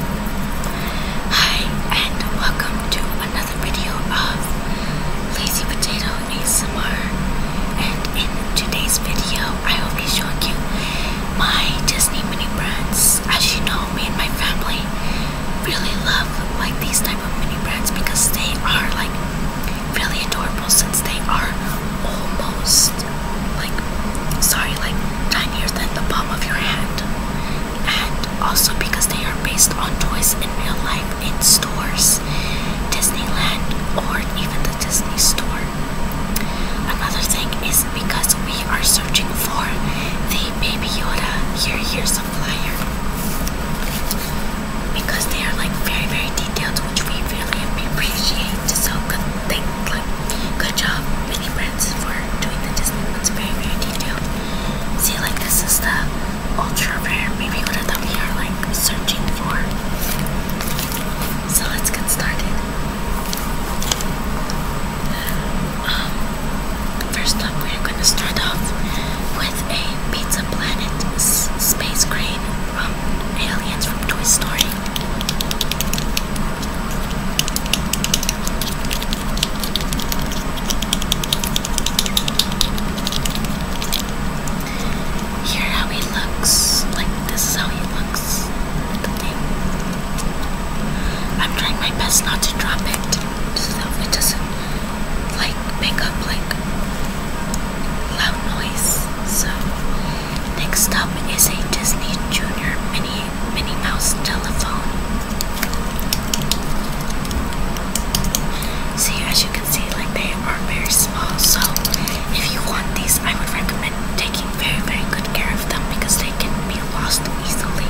Hi, and welcome to another video of Lazy Potato ASMR. And in today's video, I will be showing you my Disney mini brands. As you know, me and my family really love like these type of mini brands because they are like really adorable since they are almost like sorry like deniers than the palm of your hand, and also because they are based on toys in real life in stores, Disneyland, or even the Disney store. Another thing is because we are searching for the Baby Yoda Here Here's a Flyer. Because they are like very very detailed, which we really appreciate. So good thing good job, mini friends, for doing the Disney ones very, very detailed. See, like, this is the ultra rare Maybe-Order that we are, like, searching for. So let's get started. Um, first up, we're going to start off with a Pizza Planet Space Crane from Aliens from Toy Story. Here how he looks. Like this is how he looks. I'm trying my best not to drop it so it doesn't like make up like loud noise. So next up is a Disney Junior mini Minnie Mouse telephone. See, as you can see, like they are very small. So, if you want these, I would recommend taking very, very good care of them because they can be lost easily.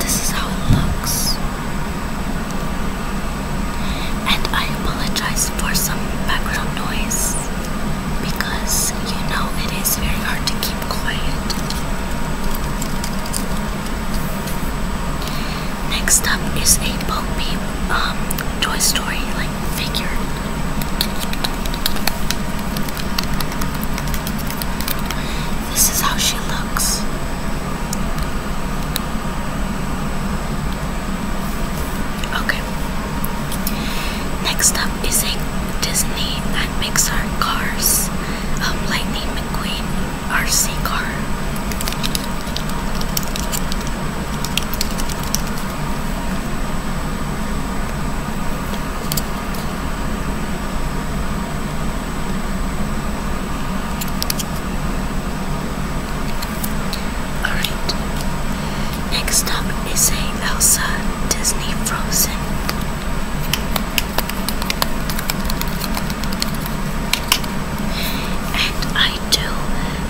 This is how it looks. And I apologize for some background noise because you know it is very hard to keep quiet. Next up is a Bo um, Toy Story like figure. This is how she looks. Okay. Next up is a Disney and Pixar Cars um, Lightning McQueen RC car. Alright. Next up is a Elsa Disney Frozen. And I do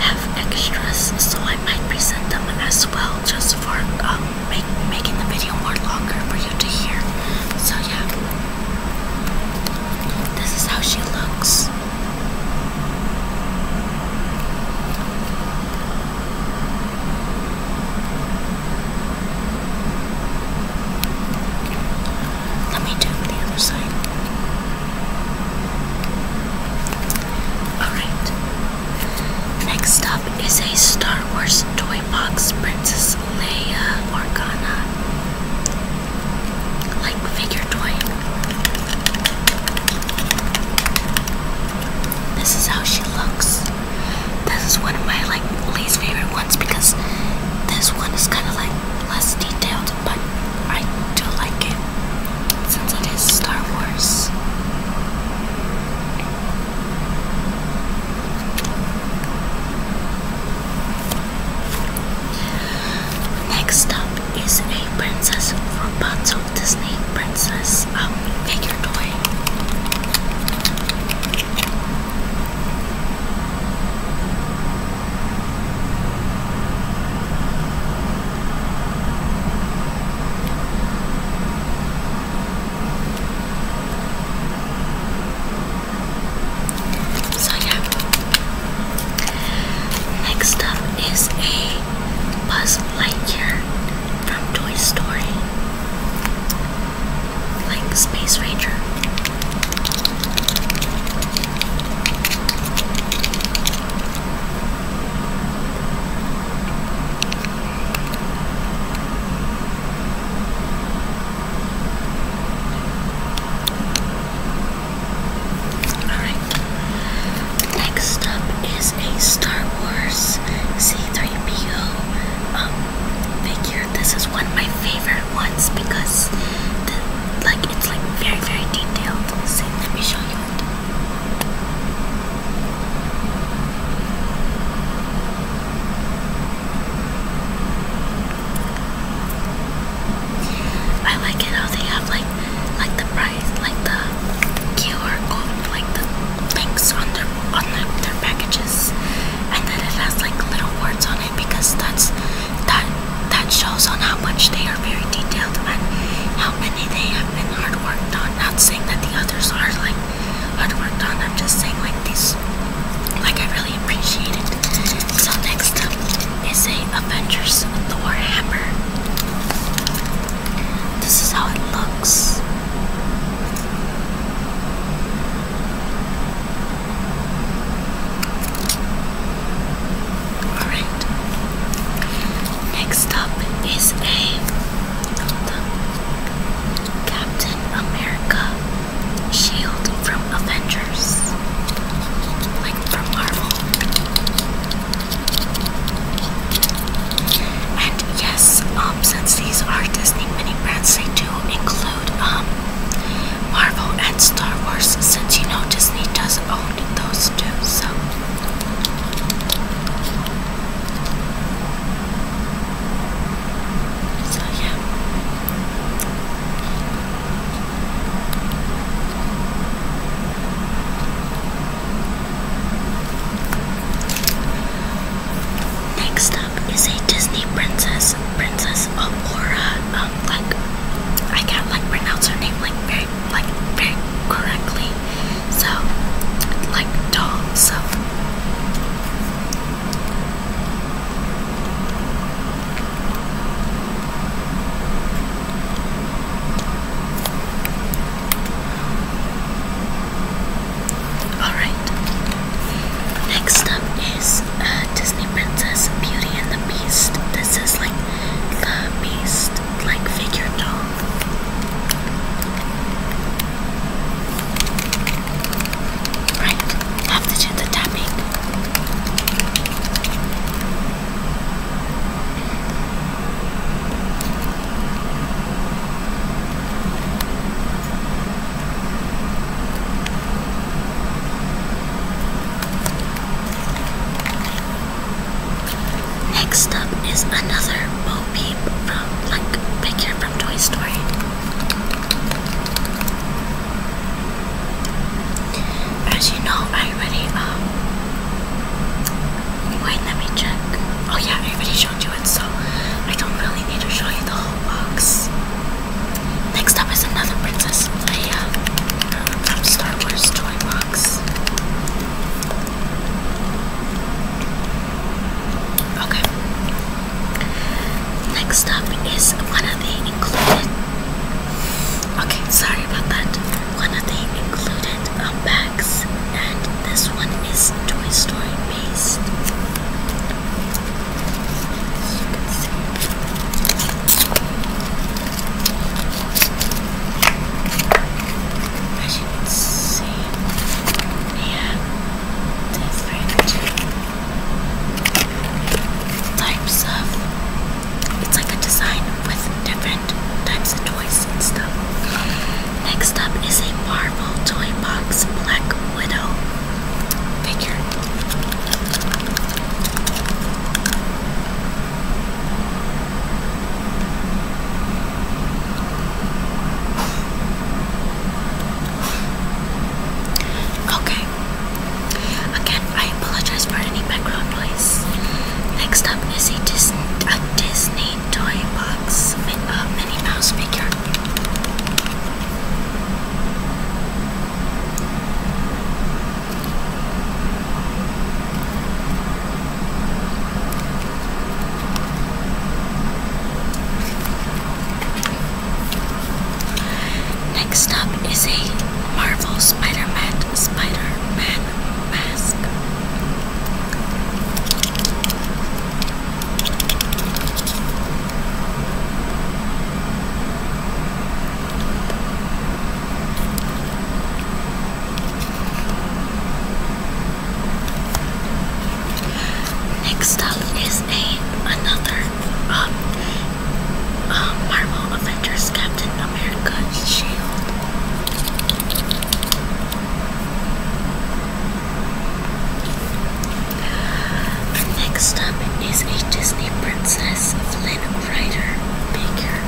have extras, so I might present them as well just for um, making the video more longer for you to hear. So, yeah. This is how she looks. Let me do the other side. Alright. Next up is a Star Wars toy box Princess Leia Organa like figure toy. This is how she looks. This is one of my like least favorite ones because this one is kind of like less detailed, but I do like it since it is Star Wars. Next up, is a princess from Bunzel Disney Princess um, figure toy. So yeah, Next up is a Buzz Lightyear from Toy Story, like Space Ranger. Alright. Next up is a Star Wars C3PO um, figure. This is one of my favorite ones because like it's like very very detailed. See, let me show you I like it how they have like like the price, like the QR code, like the links on their on their, their packages, and then it has like little words on it because that's that that shows on how much they are very detailed and how many they have been hard worked on. Not saying that the others are like hard worked on. I'm just saying like these, like I really so next up is a Avengers Thor hammer. This is how it looks. Alright. Next up is a Captain America shield from Avengers, like from Marvel. And yes, um, since these are Disney mini brands, they do include um, Marvel and Star Wars, since you know Disney does own those two, so. So yeah. Next up is a Disney princess, Princess Aurora. Um, like I can't like pronounce her name like very like very correctly. So like doll. So Alright. Next up is uh, Disney Princess Beauty and the Beast. This is like the Beast like figure doll. Right, have the tapping. Next up is another Bo from like figure from Toy Story. As you know, I already, um, wait, let me check. Oh yeah, I already showed you it, so I don't really need to show you the whole box. Next up is another Princess Leia uh, from Star Wars toy box. Okay, Next up is one of the included. Okay, sorry about that. One of the included um, bags, and this one is Toy Story based. As you can yeah, different types of it's like a design with different types of toys and stuff. Next up is a Marvel Toy Box Black Widow figure. Okay. Again, I apologize for any background noise. Next up is a Disney, a Disney toy box uh, Minnie Mouse figure. Next up is a Marvel Spider-Man Spider-Man mask. Next up is a another um, um, Marvel Avengers Captain America shield. Next up is a Disney Princess Flynn Rider figure.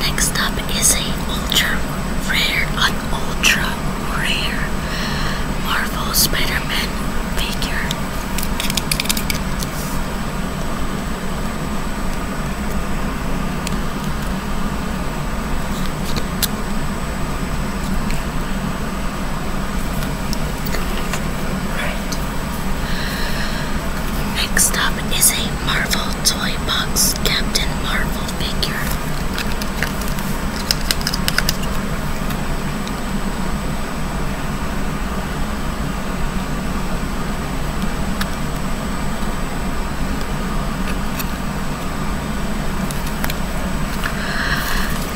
Next up is a ultra rare, an ultra rare Marvel Spider-Man figure. Next up is a Marvel Toy Box Captain Marvel figure.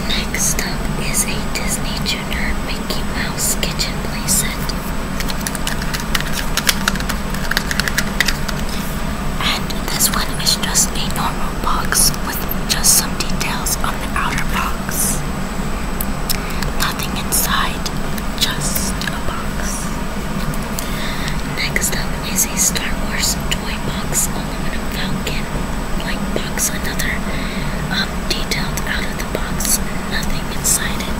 Next up is a Disney Junior Mickey Mouse kitchen playset. And this one is just a normal box with just some details on the outer box. Nothing inside, just a box. Next up is a Star Wars toy box aluminum falcon like box, another um, detailed out of the box, nothing inside it.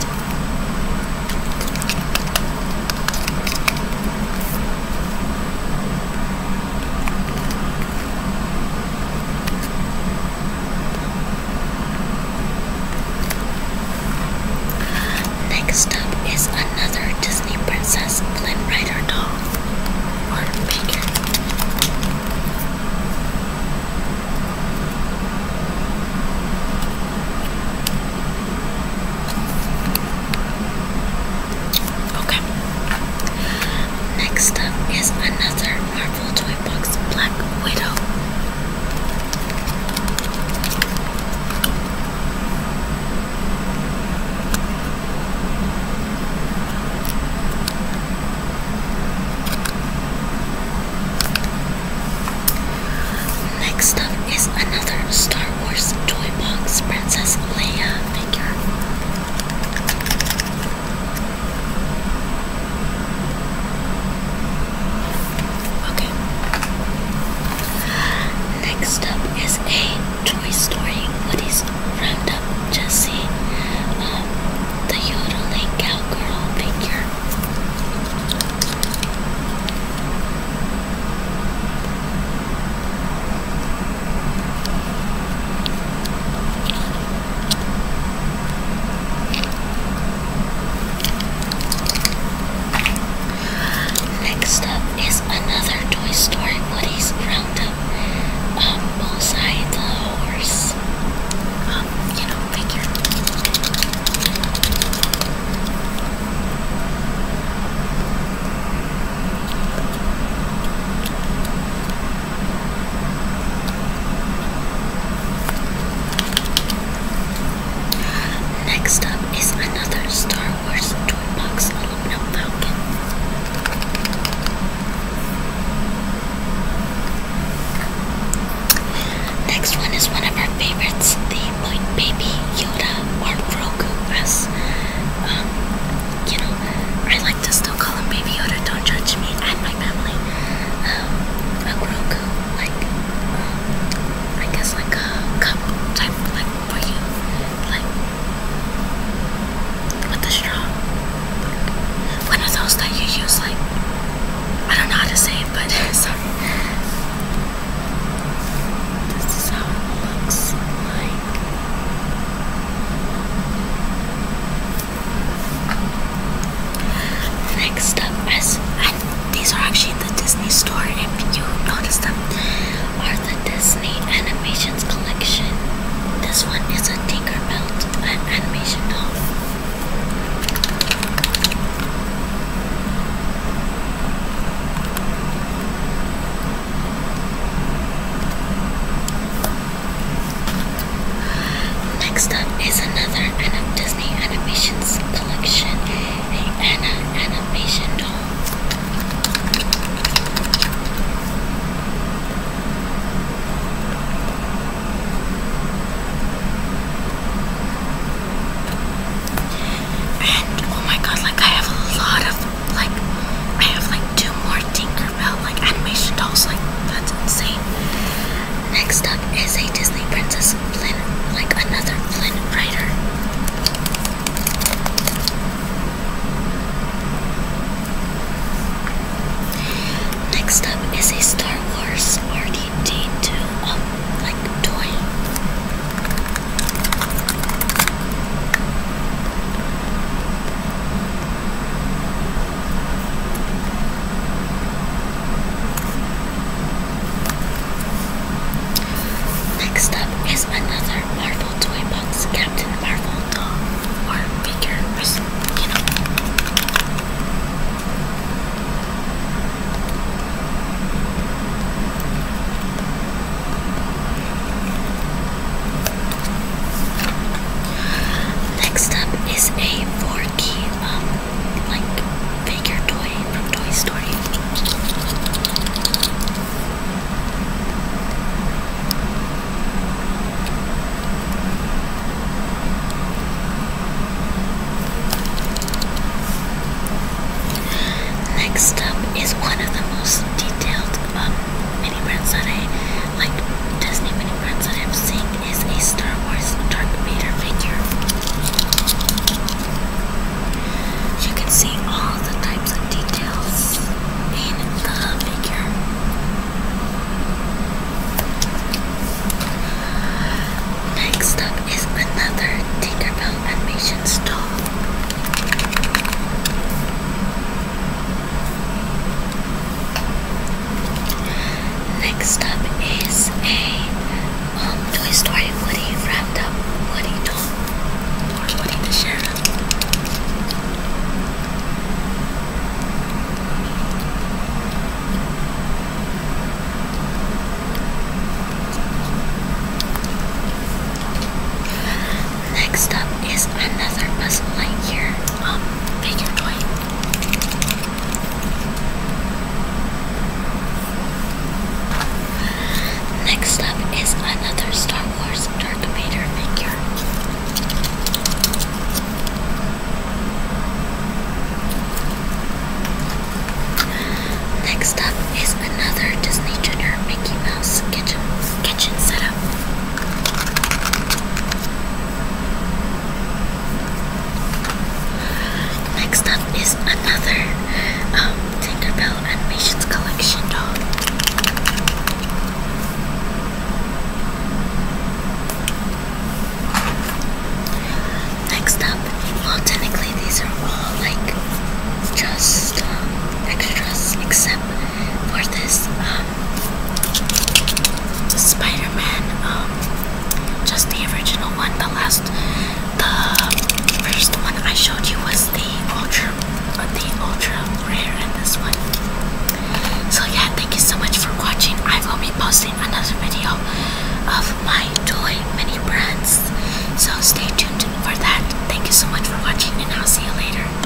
Next up is another Disney princess Flynn Rider doll Okay. Next up is another Marvel Toy Black Widow. Next up is another Star Wars toy box Princess Leia figure. Okay. Next up is a Toy Story Woody's Roundup Jessie, um, the yodeling cowgirl figure. Next up is another Toy Story Woody's Roundup. Um, bullseye the horse. Um, you know, figure. Next up is another Star Wars toy box aluminum falcon. Next one is one of our favorites, the White Baby Yoda or Grogu um, you know, I like to still call him Baby Yoda, don't judge me and my family. Um, Grogu like um, I guess like a cup type like for you, like with the straw. one of those that you use like I don't know how to say it, but sorry. This is looks like. Next up is, these are actually the Disney store, if you noticed them, are the Disney Animations Collection. This one is a Tinker an animation doll. Next up is another Anna Disney Animations collection, a Anna Animation doll. And oh my god, like I have a lot of like I have like two more Tinkerbell like animation dolls, like that's insane. Next up is a Disney Princess Flynn, like another Flynn Rider. Next up is a Star Wars RDD2 um, like toy. Next up is another Marvel toy box, Captain Marvel doll or figure, Next up is a four-key um like figure toy from Toy Story. Next up is one of the most detailed um, mini brands I like Disney mini brands that I'm seeing is a Star Wars Darth Vader figure. You can see all the types of details in the figure. Next up is another Tinkerbell animation doll. Next up is a um, Toy Story Woody wrapped up Woody doll Next up is another puzzle light um, Next up is another Star Wars Darth Vader figure. Next up is another Disney Junior Mickey Mouse kitchen kitchen setup. Next up is another um, Tinkerbell Animations Collection doll. Next up, well, technically these are all like just um, extras, except for this um, the Spider-Man, um, just the original one. The last, the first one I showed you was the ultra, uh, the ultra rare, and this one. So yeah, thank you so much for watching. I will be posting another video of my toy mini brands. So stay tuned for that. Thank you so much for watching, and I'll see you later.